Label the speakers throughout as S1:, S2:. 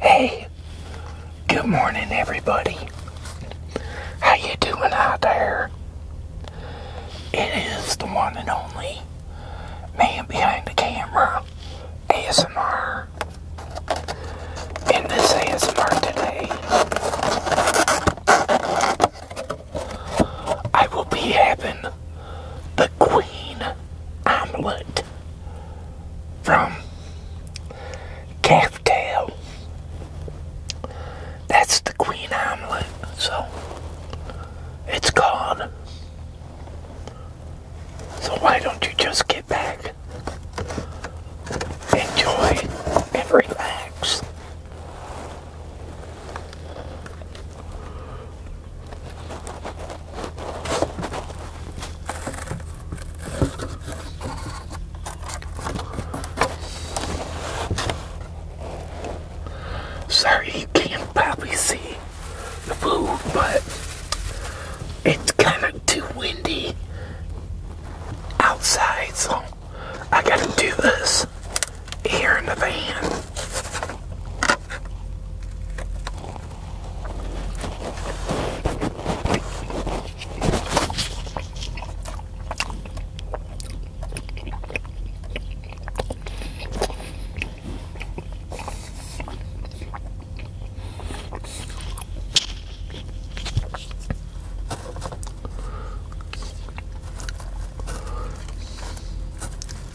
S1: Hey, good morning everybody. How you doing out there? It is the one and only man behind the camera, ASMR. And this ASMR today, I will be having the Queen Omelette from Calftail. That's the Queen Omelette, so it's gone. So why don't you just get back, enjoy, and relax? Sorry you can't probably see the food, but it's kind of too windy outside, so I gotta do this here in the van.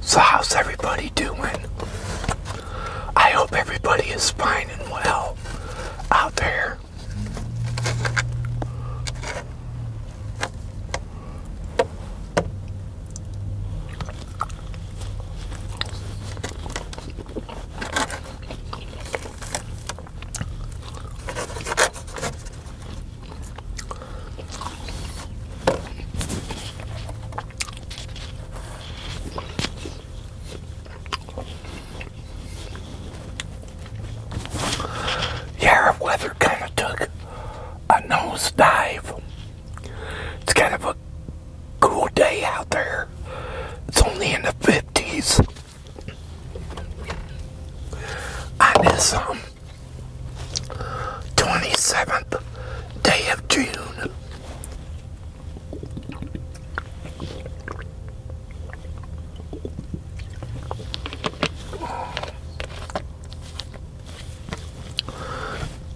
S1: So how's everybody doing? I hope everybody is fine and well out there. Yeah, our weather kind of took a nosedive. It's kind of a cool day out there. It's only in the 50s. On this um, 27th day of June.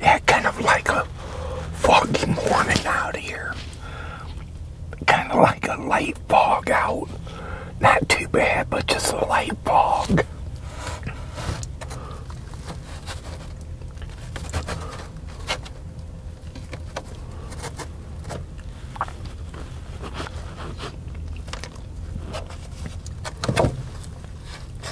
S1: Yeah, kind of like a foggy morning out here. Kind of like a light fog out. Not too bad, but just a light fog.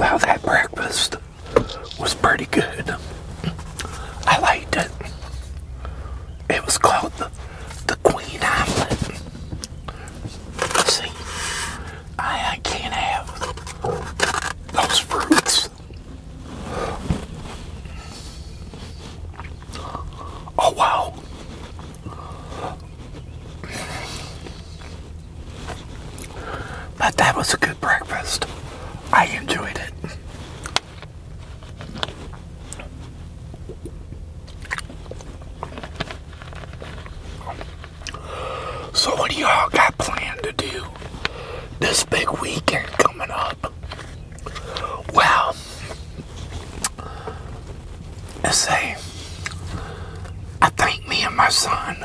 S1: Well, that breakfast was pretty good. I liked it. It was called the, the Queen Omelet. See, I, I can't have those fruits. Oh wow. But that was a good breakfast. I enjoyed it. So what do y'all got planned to do this big weekend coming up? Well, let say I think me and my son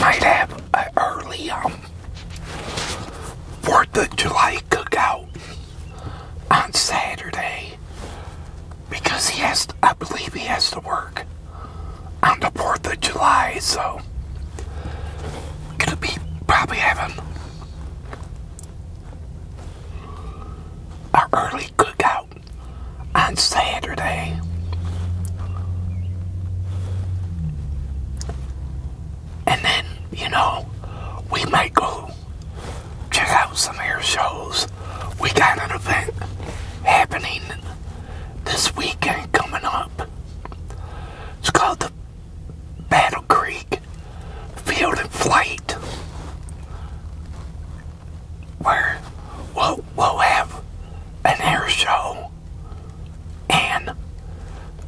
S1: might have an early um, 4th of July cookout on Saturday because he has, I believe he has to work on the 4th of July, so gonna be probably having an early cookout out on Saturday. And then, you know, we might go check out some of air shows. We got an event happening this weekend coming up. It's called the Battle Creek Field and Flight we'll, we'll have an air show and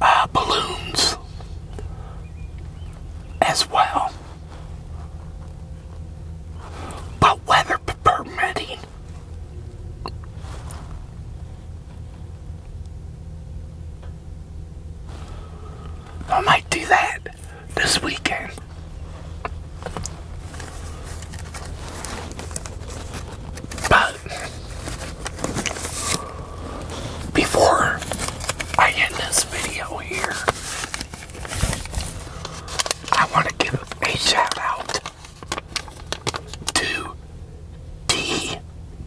S1: uh, balloons as well. But weather permitting, I might do that this weekend. But before I end this video here, I want to give a shout out to T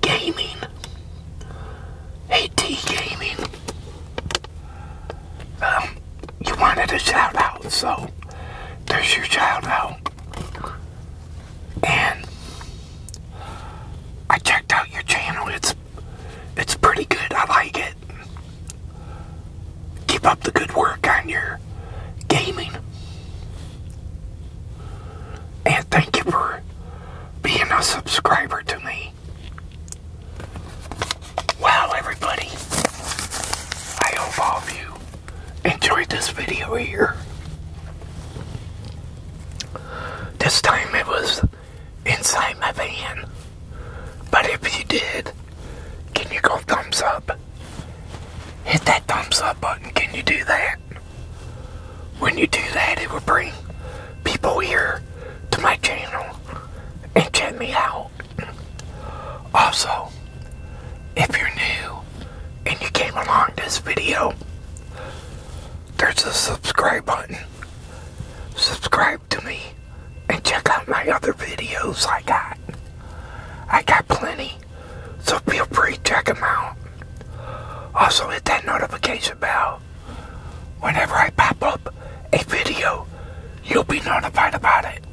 S1: Gaming. Hey T Gaming, um, you wanted a shout out, so there's your shout out. And I checked out your channel. It's it's pretty good. I like it. Keep up the good work on your gaming. And thank you for being a subscriber to me. Wow, everybody. I hope you enjoyed this video here. This time it was inside my van. But if you did, can you go thumbs up? Hit that thumbs up button. Can you do that? When you do that, it will bring people here to my channel and check me out. Also, if you're new and you came along this video, there's a subscribe button. Subscribe to me and check out my other videos I got. I got plenty, so feel free to check them out. Also, hit that notification bell Whenever I pop up a video, you'll be notified about it.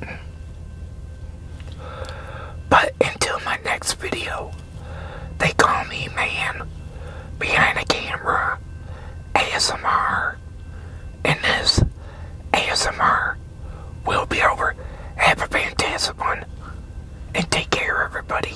S1: But until my next video, they call me man behind the camera ASMR. And this ASMR will be over. Have a fantastic one. And take care, everybody.